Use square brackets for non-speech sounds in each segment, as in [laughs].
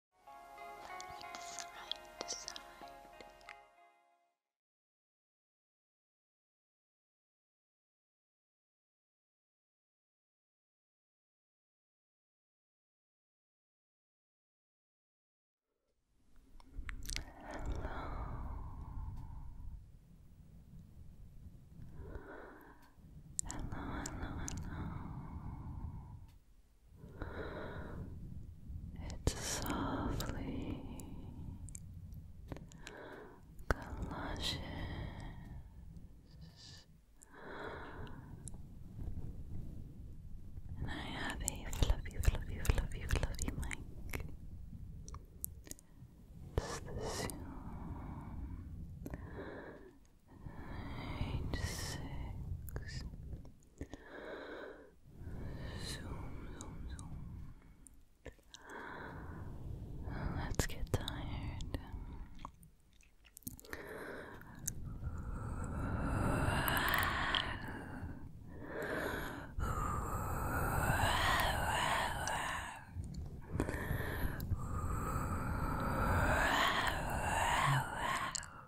Look side to side. Hello. Hello, hello, hello. It softly galoshes and I have a fluffy, fluffy, fluffy, fluffy mic. It's the Zoom eight, six. Zoom, zoom, zoom. Let's get tired.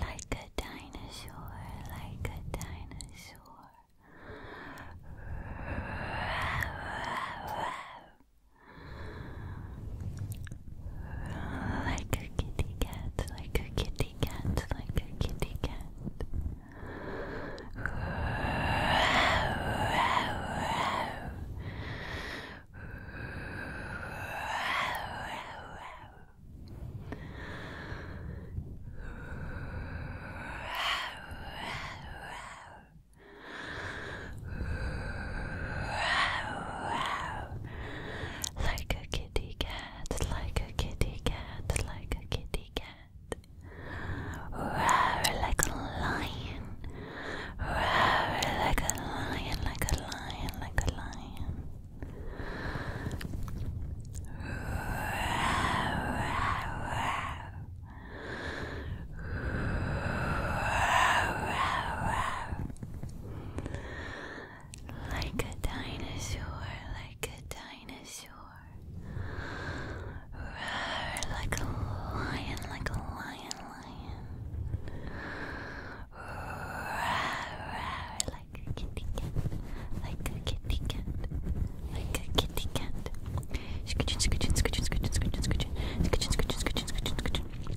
Like a dinosaur, like a dinosaur. Like a kitty cat, like a kitty cat, like a kitty cat. Like a kitty cat, like a kitty cat, like a kitty cat. Roar like a lion. Roar like a lion, like a lion, like a lion. Roar, roar, roar. Like a dinosaur, like a dinosaur. Roar, like a lion, like a lion, lion. Roar, roar, like a kitty cat, like a kitty cat, like a kitty cat. Scootin, scootin, scootin, scootin, scootin, scootin, scootin, scootin, scootin, scootin,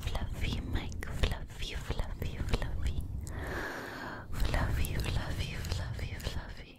Fluffy Mike, fluffy, fluffy, fluffy, fluffy, fluffy, fluffy, fluffy.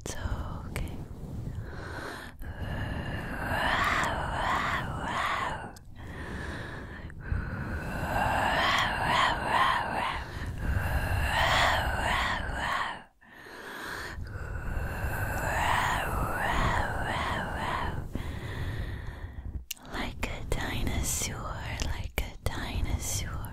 It's okay. Like a dinosaur, like a dinosaur,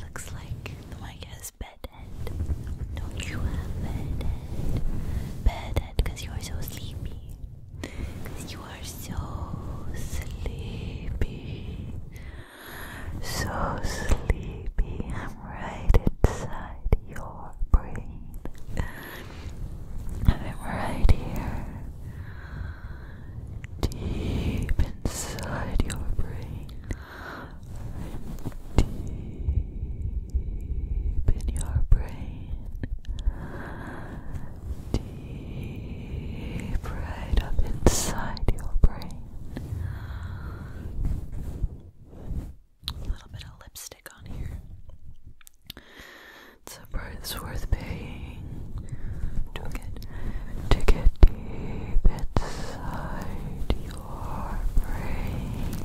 Looks like the mic bedhead. Don't you have bedhead? Bedhead you are so sleepy. you are so sleepy. So sleepy. I'm right inside your brain. And right here, deep inside your brain, deep in your brain, deep right up inside your brain. A little bit of lipstick. It's a price worth paying to get to get deep inside your brain.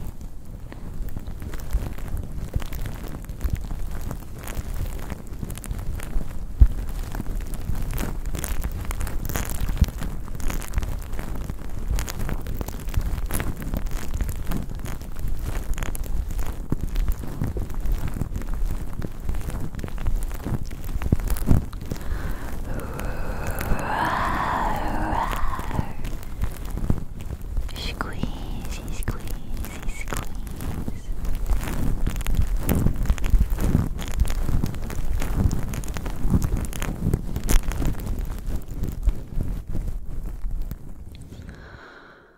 Squeeze, squeeze, squeeze.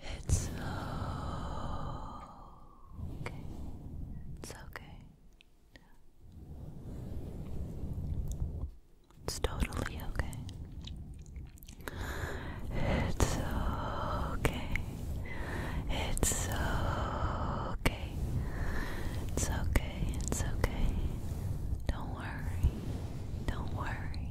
It's okay. It's okay. It's totally okay. It's okay. It's okay. It's okay. It's okay. Don't worry. Don't worry.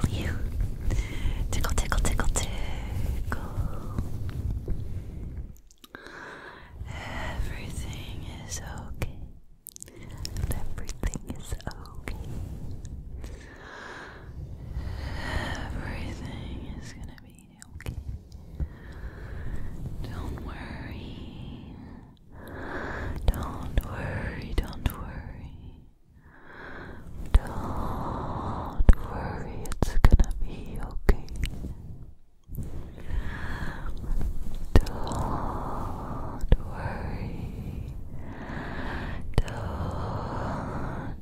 tickle you. Tickle, tickle, tickle, tickle. Everything is okay. Everything is okay. Everything is gonna be okay. Don't worry. Don't worry, don't worry. Don't worry, it's gonna be okay. Don't worry.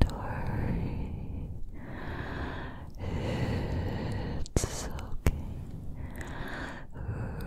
Don't worry. It's okay.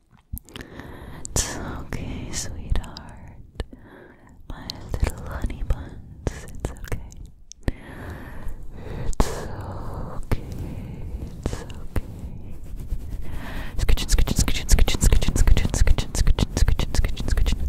It's okay, sweetheart. My little honey it's okay. It's okay, it's okay. Scritchin, scritchin, scritchin, scritchin, scritchin, scritchin, scritchin, scritchin, scritchin, scritchin, scritchin.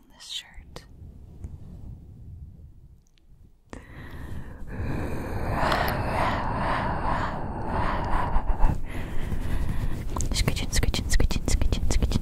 wearing this shirt. Scritchin, scritchin, scritchin, scritchin, scritchin, scritchin, [laughs]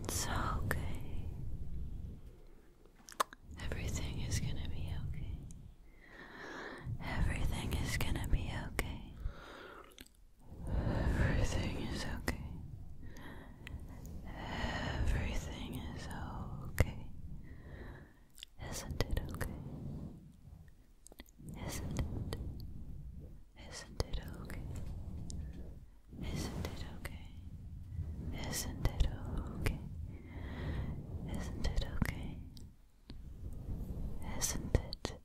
It's okay. Everything is going to be okay. Everything is going to be okay. Everything is okay. Everything is okay. Everything is okay. Isn't it okay? Isn't it? Isn't it okay? Isn't it okay? Isn't it okay? Isn't it okay? Isn't it okay?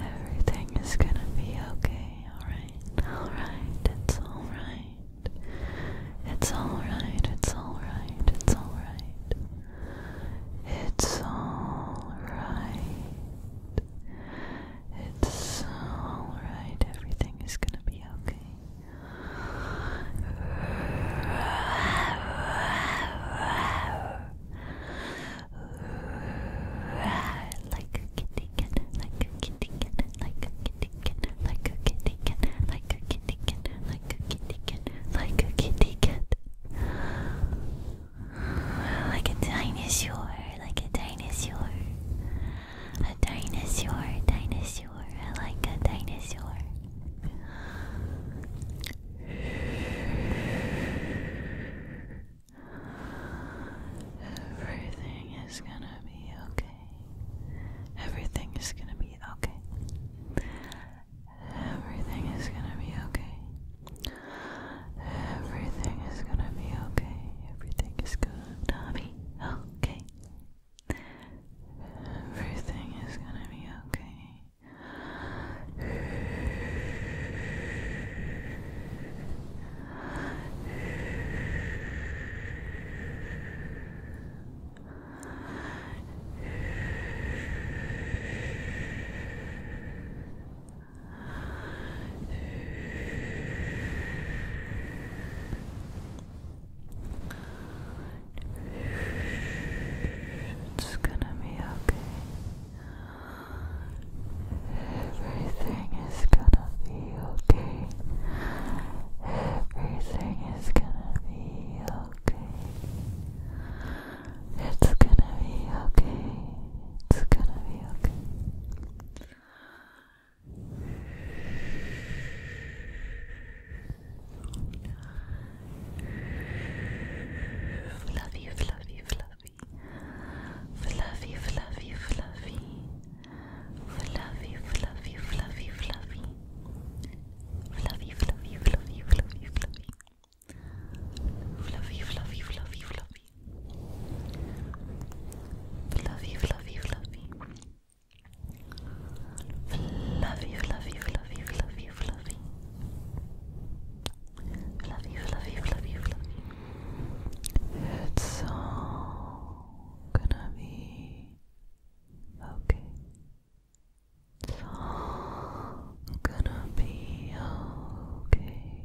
Everything is gonna be okay, alright? Alright, it's alright. It's alright, it's alright, it's alright. It's all right. It's all right. Everything is gonna be okay. Like a kitty cat, like a kitty cat, like a kitty cat, like a kitty cat, like a kitty cat, like a kitty cat, like a kitty cat. Like a dinosaur, like a dinosaur. A dinosaur, dinosaur, like a dinosaur. Everything is gonna be okay. Everything is gonna be okay. Everything is gonna be okay. Everything is gonna be okay. Everything is gonna be okay. Everything is gonna be okay. Everything it's gonna be okay. Everything is gonna be okay. Everything is gonna be okay. It's gonna be okay. It's gonna be okay. Fluffy, fluffy, fluffy. Fluffy, fluffy, fluffy. Fluffy, fluffy, fluffy, fluffy. Fluffy, fluffy, fluffy, fluffy, fluffy. Fluffy, fluffy, fluffy, fluffy. Fluffy, fluffy, fluffy. Fluffy, fluffy, fluffy, fluffy, fluffy. Fluffy, fluffy, fluffy, fluffy. It's all gonna be okay. It's all gonna be okay.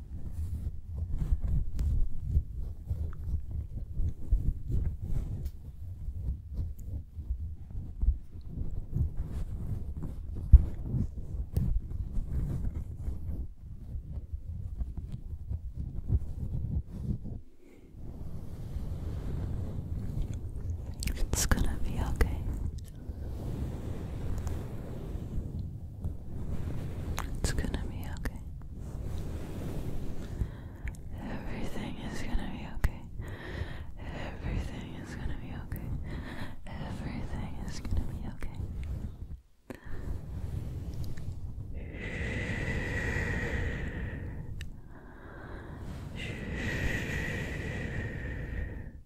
It's gonna be okay. It's gonna be okay. Everything is gonna be okay. Everything is gonna be okay. Everything is gonna be okay.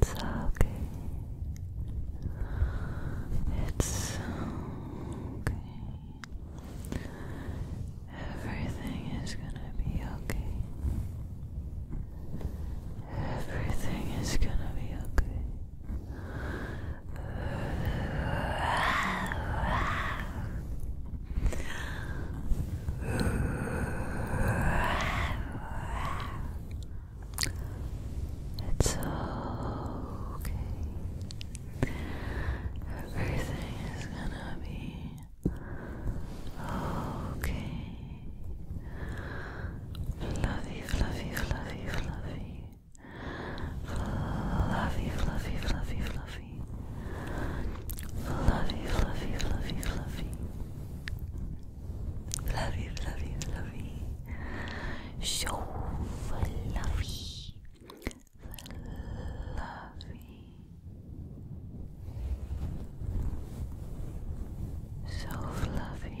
It's okay. It's okay. Everything is gonna be okay. Everything is gonna be okay. It's okay. Everything is gonna be okay. Fluffy, fluffy, fluffy, fluffy. Fluffy, fluffy, fluffy, fluffy. Fluffy, fluffy, fluffy, fluffy. Fluffy, fluffy, fluffy. So fluffy. Fluffy. So fluffy.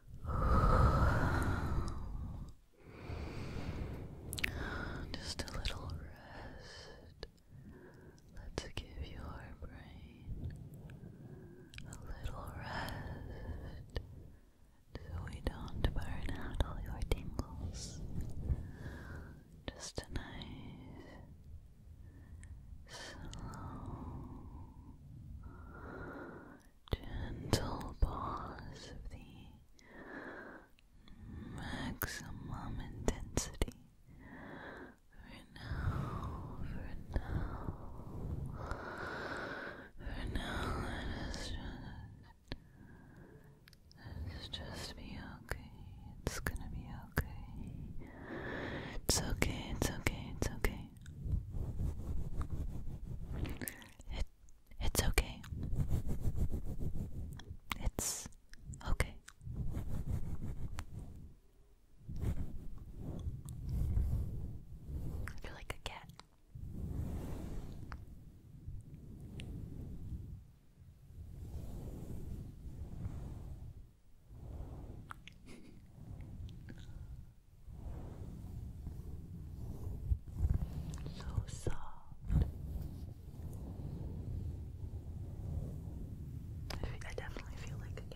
[sighs] Just a little rest. Let's give your brain a little rest so we don't burn out all your tingles. Just a nice, slow, gentle pause of the maximum intensity. For now, for now, for now, let just, let just be okay. It's gonna be okay. It's okay, it's okay, it's okay, it, it's okay. It's okay. I feel like a cat so soft. I, definitely feel like a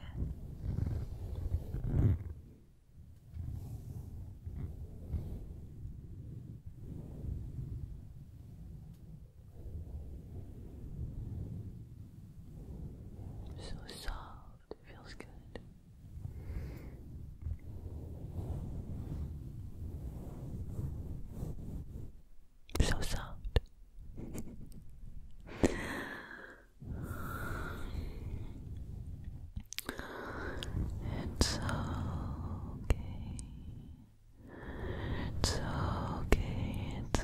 So soft. It feels good. So soft. it's okay. It's okay. It's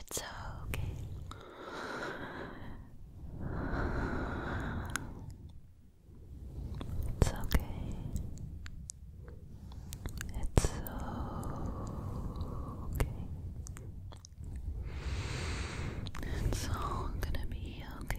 It's okay. It's okay. It's okay. It's all gonna be okay.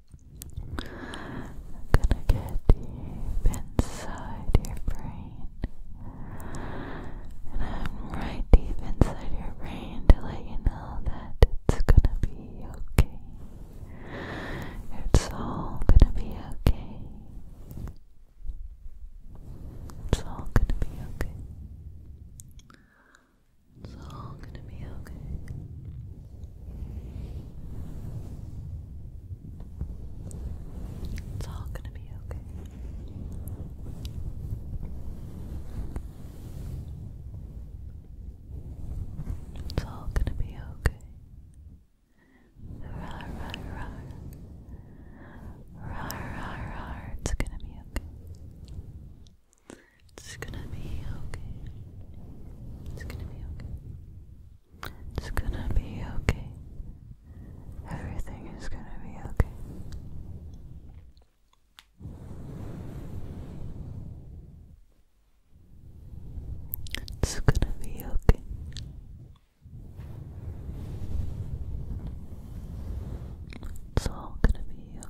I'm gonna get deep inside your brain. And I'm right deep inside your brain to let you know that it's gonna be okay. It's all gonna be okay. It's all gonna be okay. It's all gonna be okay. It's all gonna be okay. It's all gonna be okay. Rar, rar, rar. Rar, rar, rar. It's gonna be okay. It's gonna be okay. It's gonna be okay. It's gonna be okay. Everything is gonna be okay. It's gonna be okay. It's all gonna be okay.